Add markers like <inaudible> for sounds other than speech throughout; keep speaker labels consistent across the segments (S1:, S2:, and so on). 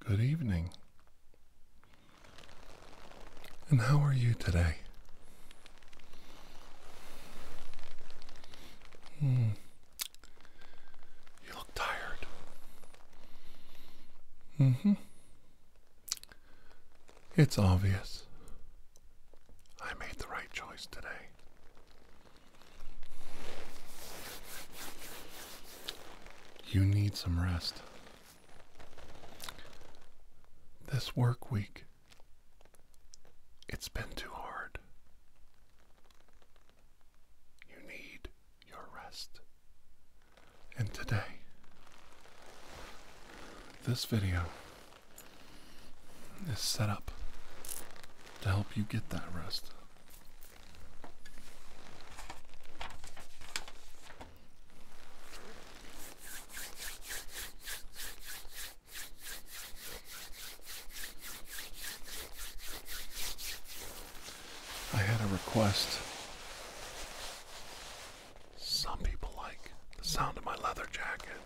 S1: Good evening. And how are you today? Hmm. You look tired. Mm hmm. It's obvious. I made the right choice today. You need some rest. This work week, it's been too hard. You need your rest. And today, this video is set up to help you get that rest. I had a request. Some people like the sound of my leather jacket.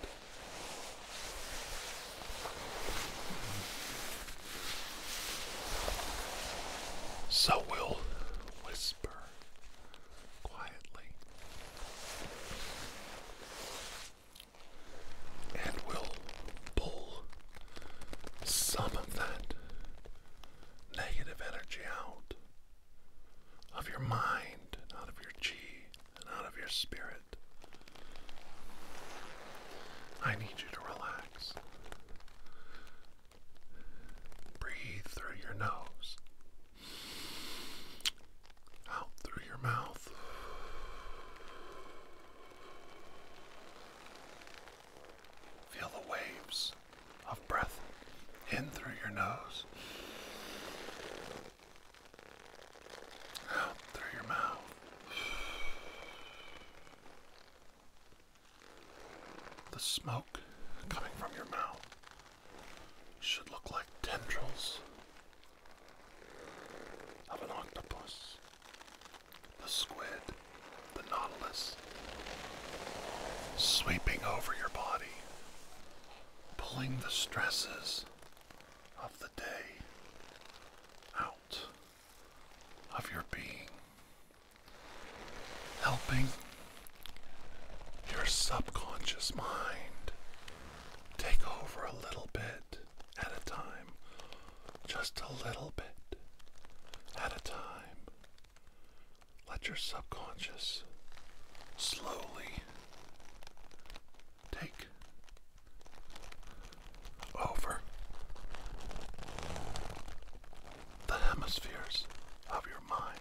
S1: So we'll whisper quietly. And we'll pull some of that negative energy out of your mind out of your chi out of your spirit. I need you to relax. Breathe through your nose, out through your mouth. Feel the waves of breath in through your nose out through your mouth. The smoke coming from your mouth should look like tendrils of an octopus, the squid, the nautilus, sweeping over your body, pulling the stresses of the day out of your being, helping your subconscious mind take over a little bit at a time, just a little bit at a time. Let your subconscious slowly take over the hemispheres of your mind.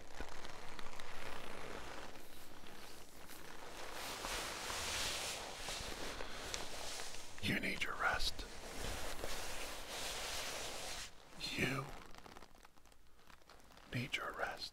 S1: You need your rest. You need your rest.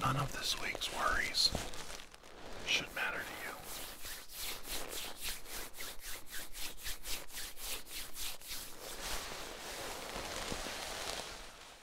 S1: None of this week's worries should matter to you.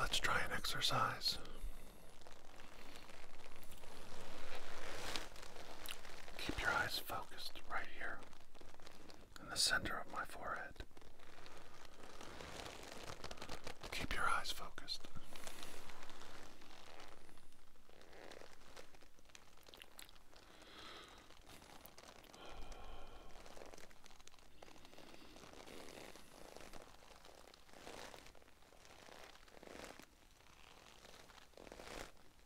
S1: Let's try an exercise. Keep your eyes focused right here in the center of my forehead. Keep your eyes focused.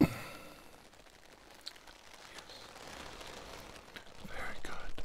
S1: yes. Very good.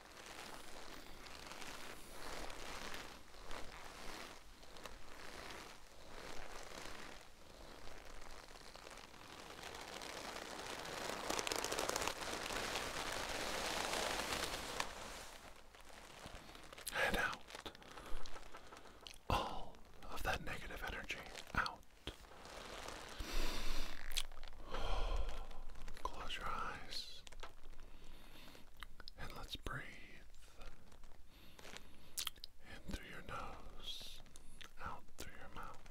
S1: Head out. All of that negative energy out. <sighs> Close your eyes. And let's breathe in through your nose, out through your mouth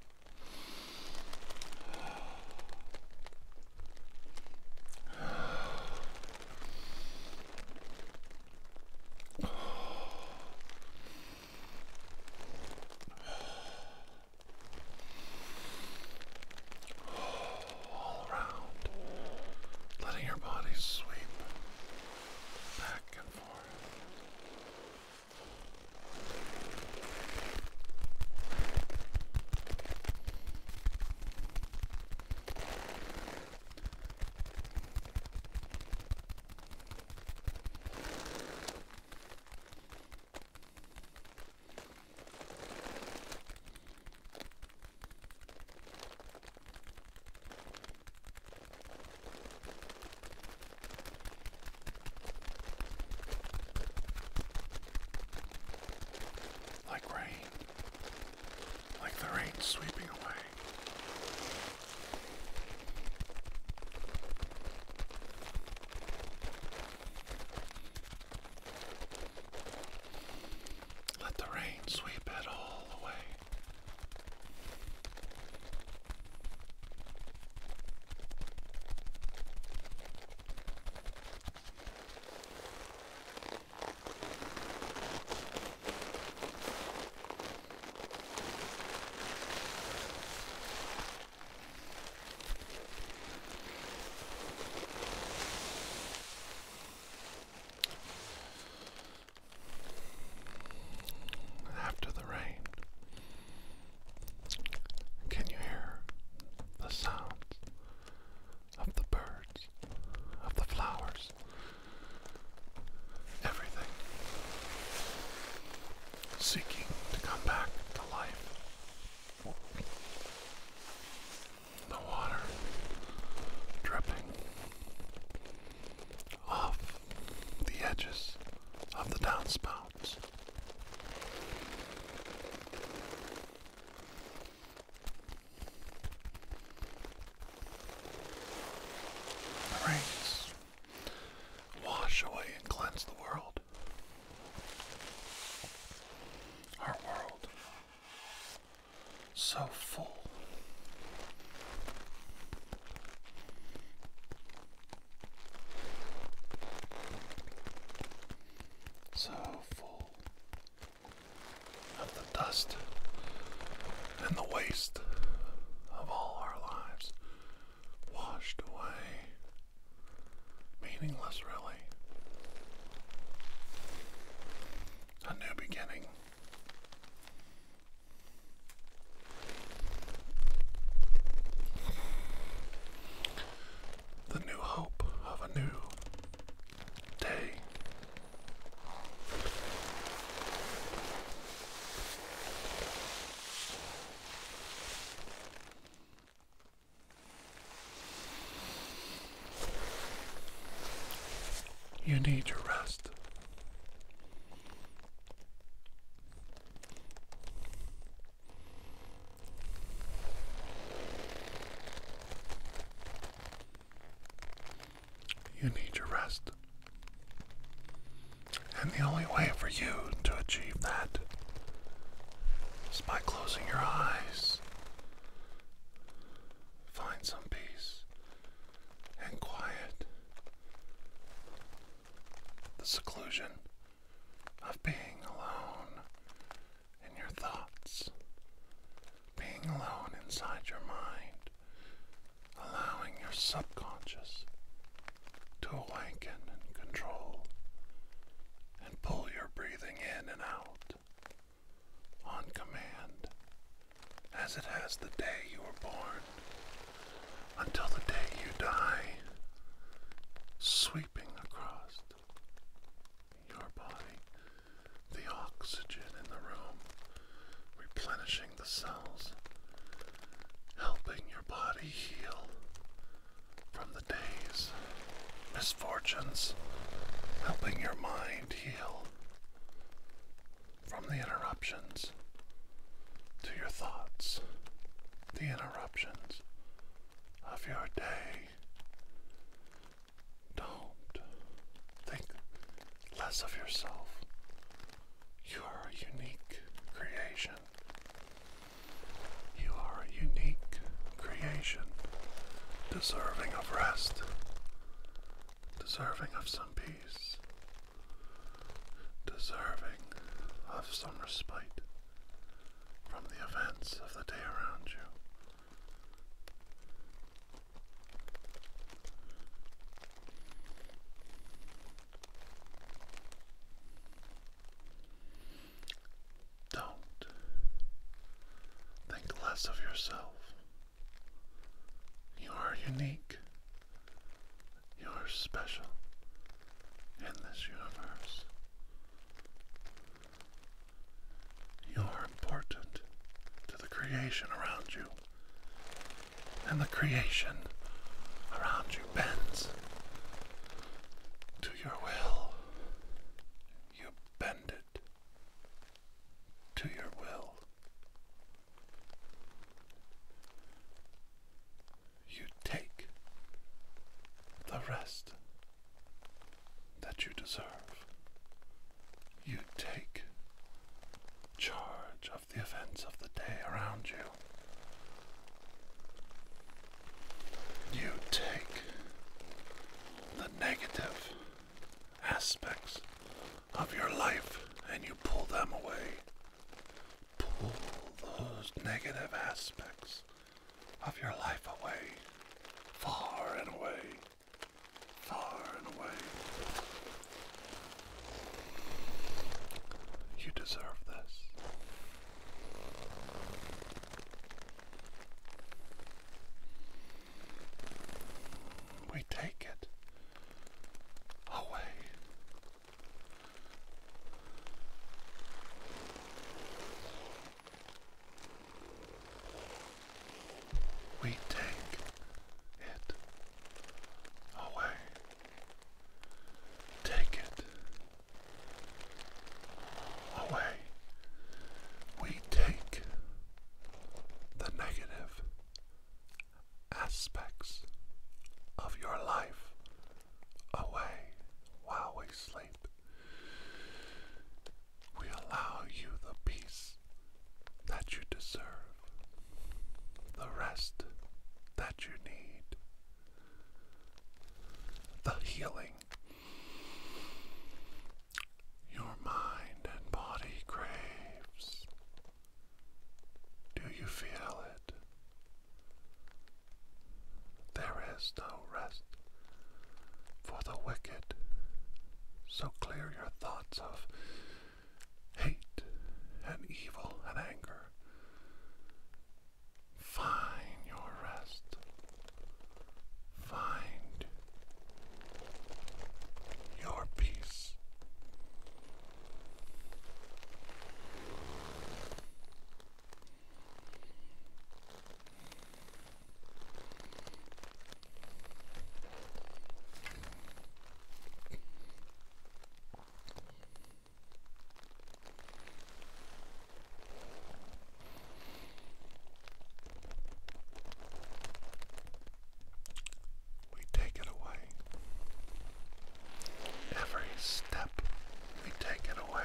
S1: all around, letting your body sweep back and forth. Like rain, like the rain sweeping away. Let the rain sweep it all away. After the rain, can you hear the sounds of the birds, of the flowers, everything seeking to come back to life? the water dripping off the edges of the downspouts. The rains wash away and cleanse the world. Our world so full. So full of the dust and the waste of all our lives washed away. Meaningless, really. A new beginning. The new hope of a new day. You need your rest. You need your rest. And the only way for you to achieve that is by closing your eyes Find some peace and quiet. The seclusion of being alone in your thoughts, being alone inside your mind, allowing your subconscious to awaken and control and pull your breathing in and out on command, as it has the day you were born, until the day you die, sweeping across your body the oxygen in the room, replenishing the cells, helping your body heal from the days misfortunes, helping your mind heal from the interruptions to your thoughts, the interruptions of your day. Don't think less of yourself. You are a unique creation. You are a unique creation, deserving of rest, deserving of some peace, deserving of some respite from the events of the day around you. Don't think less of yourself. You are unique. You are special in this universe. You are important to the creation around you. And the creation around you bends to your will. You bend it to your will. You take the rest that you deserve. You take charge of the events of the day around you. You take the negative aspects of your life and you pull them away. Pull those negative aspects of your life away, far and away, far and away. You deserve this. We take it away. We take it away. Take it away. We take the negative aspects of your life away while we sleep. We allow you the peace that you deserve, the rest that you need, the healing your mind and body craves. Do you feel it? There is no rest for the wicked, so clear your thoughts of hate and evil and anger. Find your rest Find your peace. We take it away. Every step we take it away.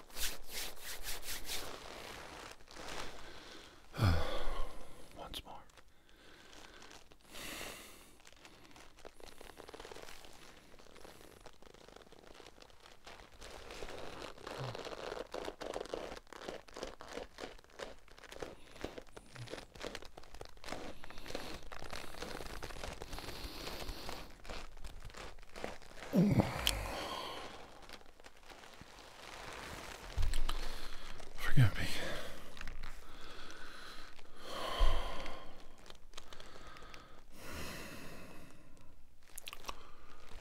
S1: Once more. Forgive me.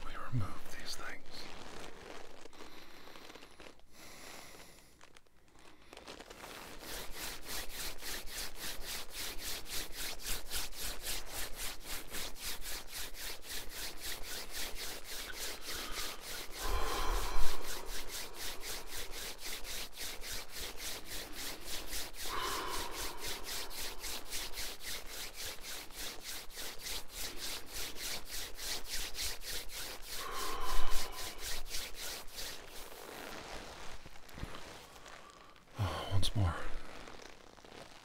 S1: We remove these things. Oh, <sighs> once more.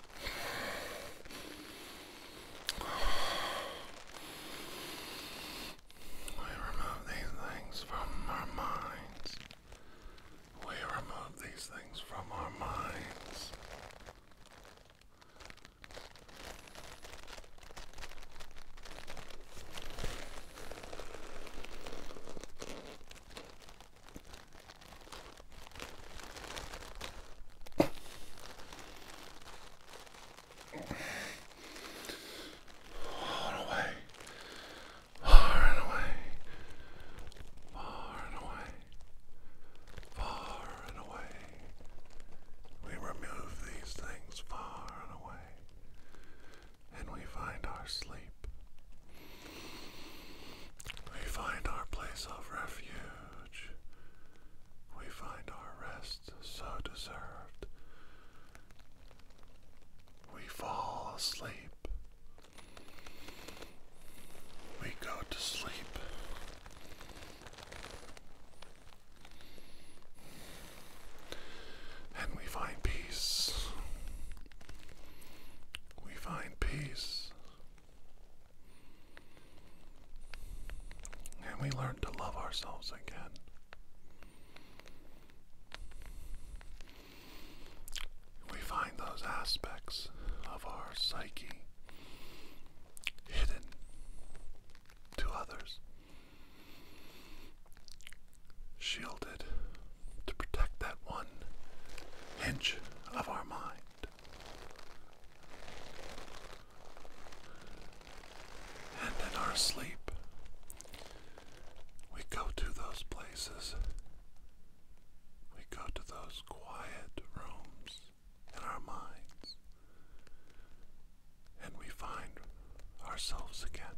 S1: We remove these things from our minds. We remove these things from our minds. Far away, far and away, far and away, far and away. We remove these things far and away, and we find our sleep. We find our place of refuge. We find our rest so deserved. We fall asleep. We go to sleep. And we find peace. We find peace. And we learn to love ourselves again. We find those aspects of our psyche hidden to others, shielded to protect that one inch of our mind. And in our sleep, we go to those places. We go to those quiet rooms in our minds. And we find ourselves again.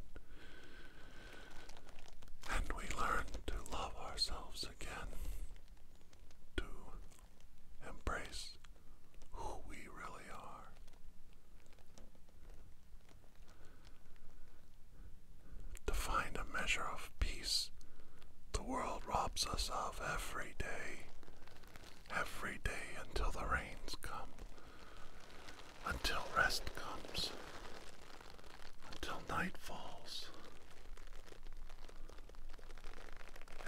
S1: And we learn to love ourselves again to embrace who we really are. To find a measure of peace the world robs us of every day, every day until the rains come, until rest comes, until night falls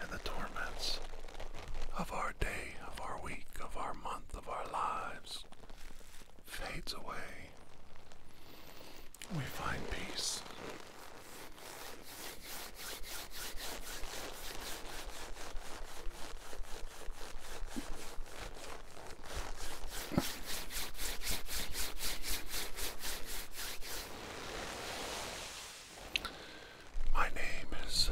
S1: and the torments of our day, of our week, of our month, of our lives fades away. We find peace. My name is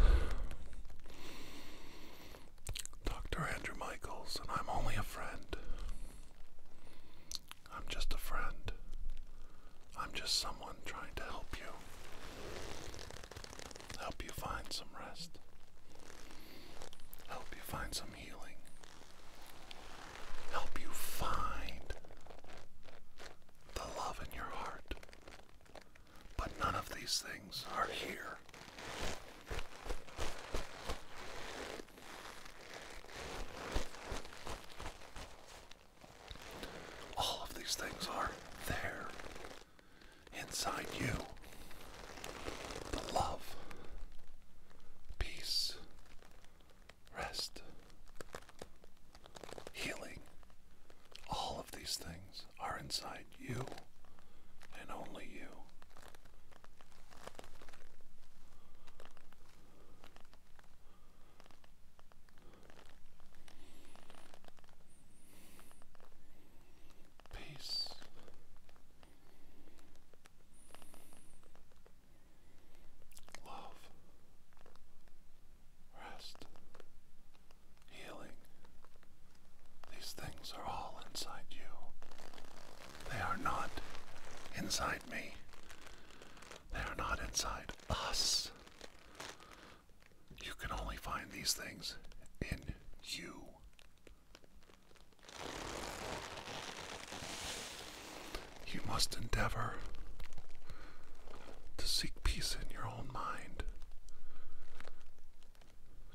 S1: Dr. Andrew Michaels, and I'm only a friend. I'm just a friend. I'm just someone trying to help you. Help you find some rest. Help you find some healing help you find the love in your heart. But none of these things are here. All of these things are there inside you. The love, peace, rest, healing. All of these things are inside you and only you. Peace love, rest, healing. These things are all inside you. They are not inside me. They are not inside us. You can only find these things in you. You must endeavor to seek peace in your own mind,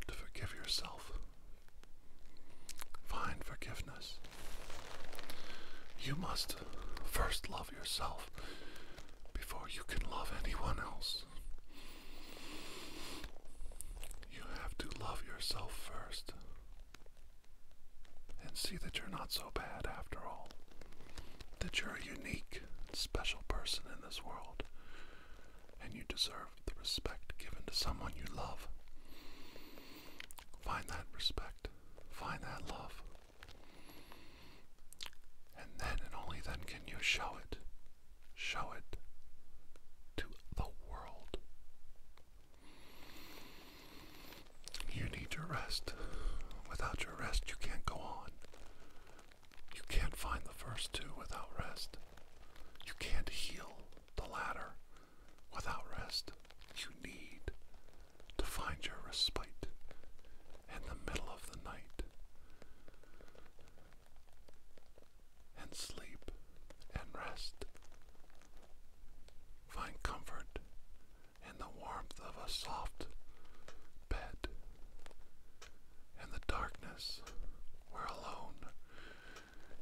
S1: to forgive yourself. Find forgiveness. You must first love yourself before you can love anyone else. You have to love yourself first and see that you're not so bad after all. That you're a unique, special person in this world, and you deserve the respect given to someone you love. Find that respect, find that love, and then and only then can you show it, show it to the world. You need your rest. Without your rest, you can't go on. You can't find the first two without rest. You can't heal the latter without rest. You need to find your respite in the middle of the night and sleep and rest. Find comfort in the warmth of a soft bed. In the darkness, we alone.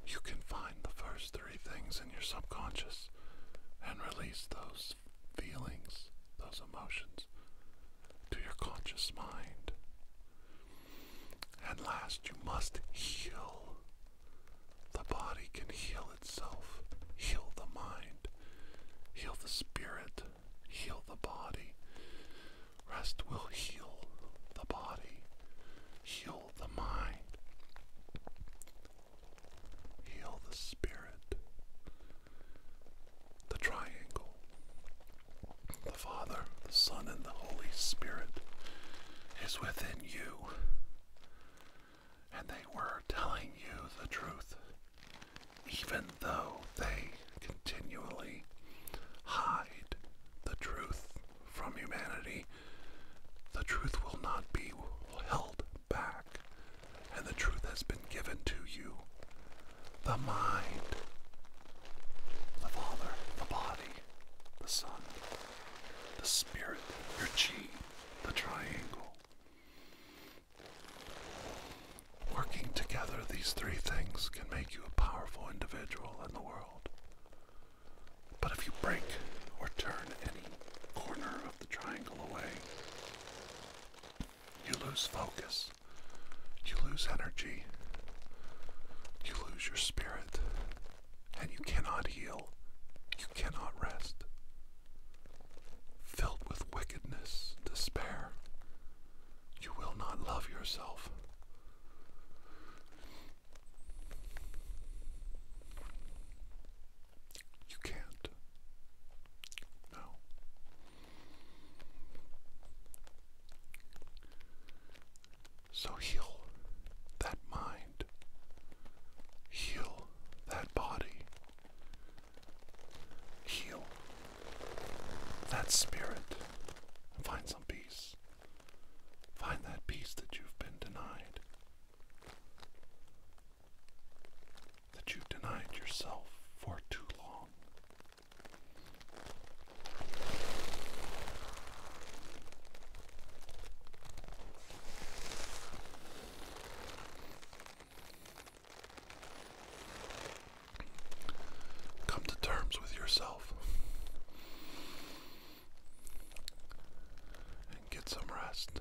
S1: You can find the first three things in your subconscious and release those feelings, those emotions, to your conscious mind. And last, you must heal the body can heal itself, heal the mind, heal the spirit, heal the body. Rest will heal the body, heal the mind, heal the spirit. The triangle, the Father, the Son, and the Holy Spirit is within you and they were telling you the truth, even though they continually hide the truth from humanity. The truth will not be held back, and the truth has been given to you. The mind, the Father, the body, the Son, the Spirit, your chi, the triangle. Working together, these three things can make you a powerful individual in the world. But if you break or turn any corner of the triangle away, you lose focus, you lose energy, you lose your spirit, and you cannot heal, you cannot rest, filled with wickedness, despair. You will not love yourself. You can't. No. So heal that mind. Heal that body, heal that spirit, and find some peace. Find that peace that you've been denied, that you've denied yourself for too long. Come to terms with yourself and get some rest.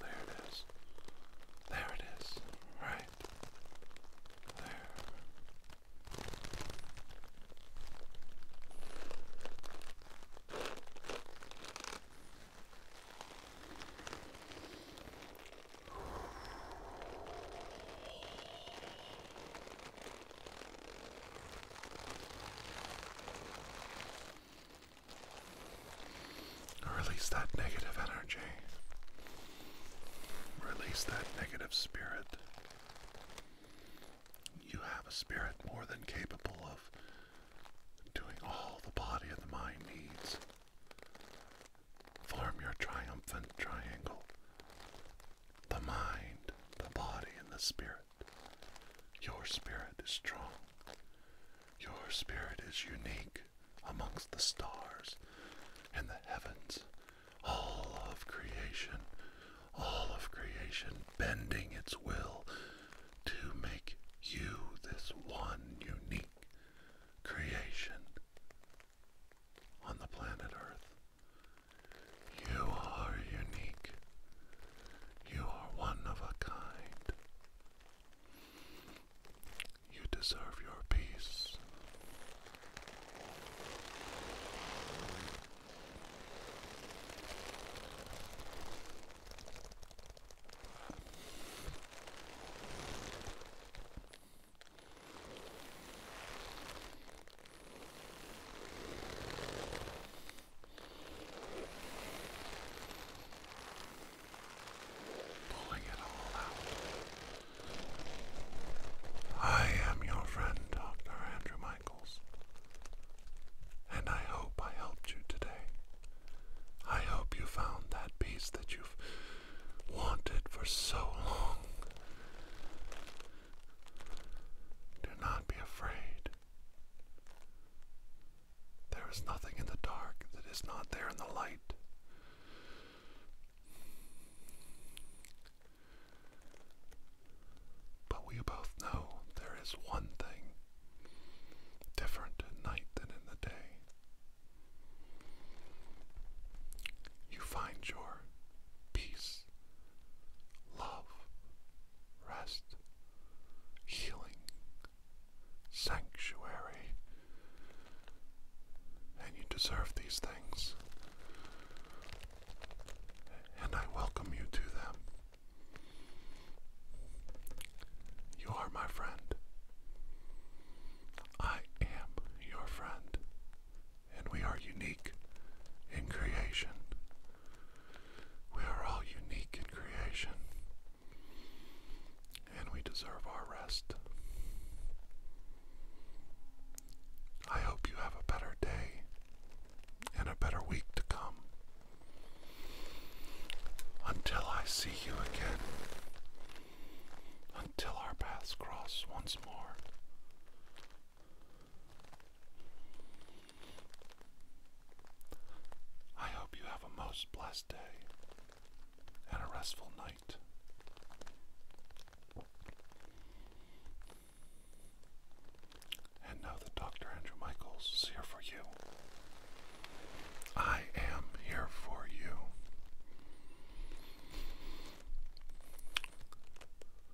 S1: There it is. There it is. Right. There. Release that negative energy. Release that negative spirit. You have a spirit more than capable of doing all the body and the mind needs. Form your triumphant triangle the mind, the body, and the spirit. Your spirit is strong. Your spirit is unique amongst the stars and the heavens. All of creation, all of creation bending its will to make you this one unique creation on the planet Earth. You are unique. You are one of a kind. You deserve your peace. Pulling it all out. I am your friend, Dr. Andrew Michaels, and I hope I helped you today. I hope you found that peace that you've wanted for so long. Do not be afraid. There is nothing in the dark that is not there in the light. But we both know there is one thing different at night than in the day. You find your peace love, rest, healing, sanctuary. And you deserve these things. And I welcome you to them. You are my friend. I am your friend and we are unique in creation. We are all unique in creation, and we deserve our rest. I hope you have a better day and a better week to come. Until I see you again, until our paths cross once more, I hope you have a most blessed day and a restful night. And now, the Dr. Andrew Michaels is here for you. I am here for you.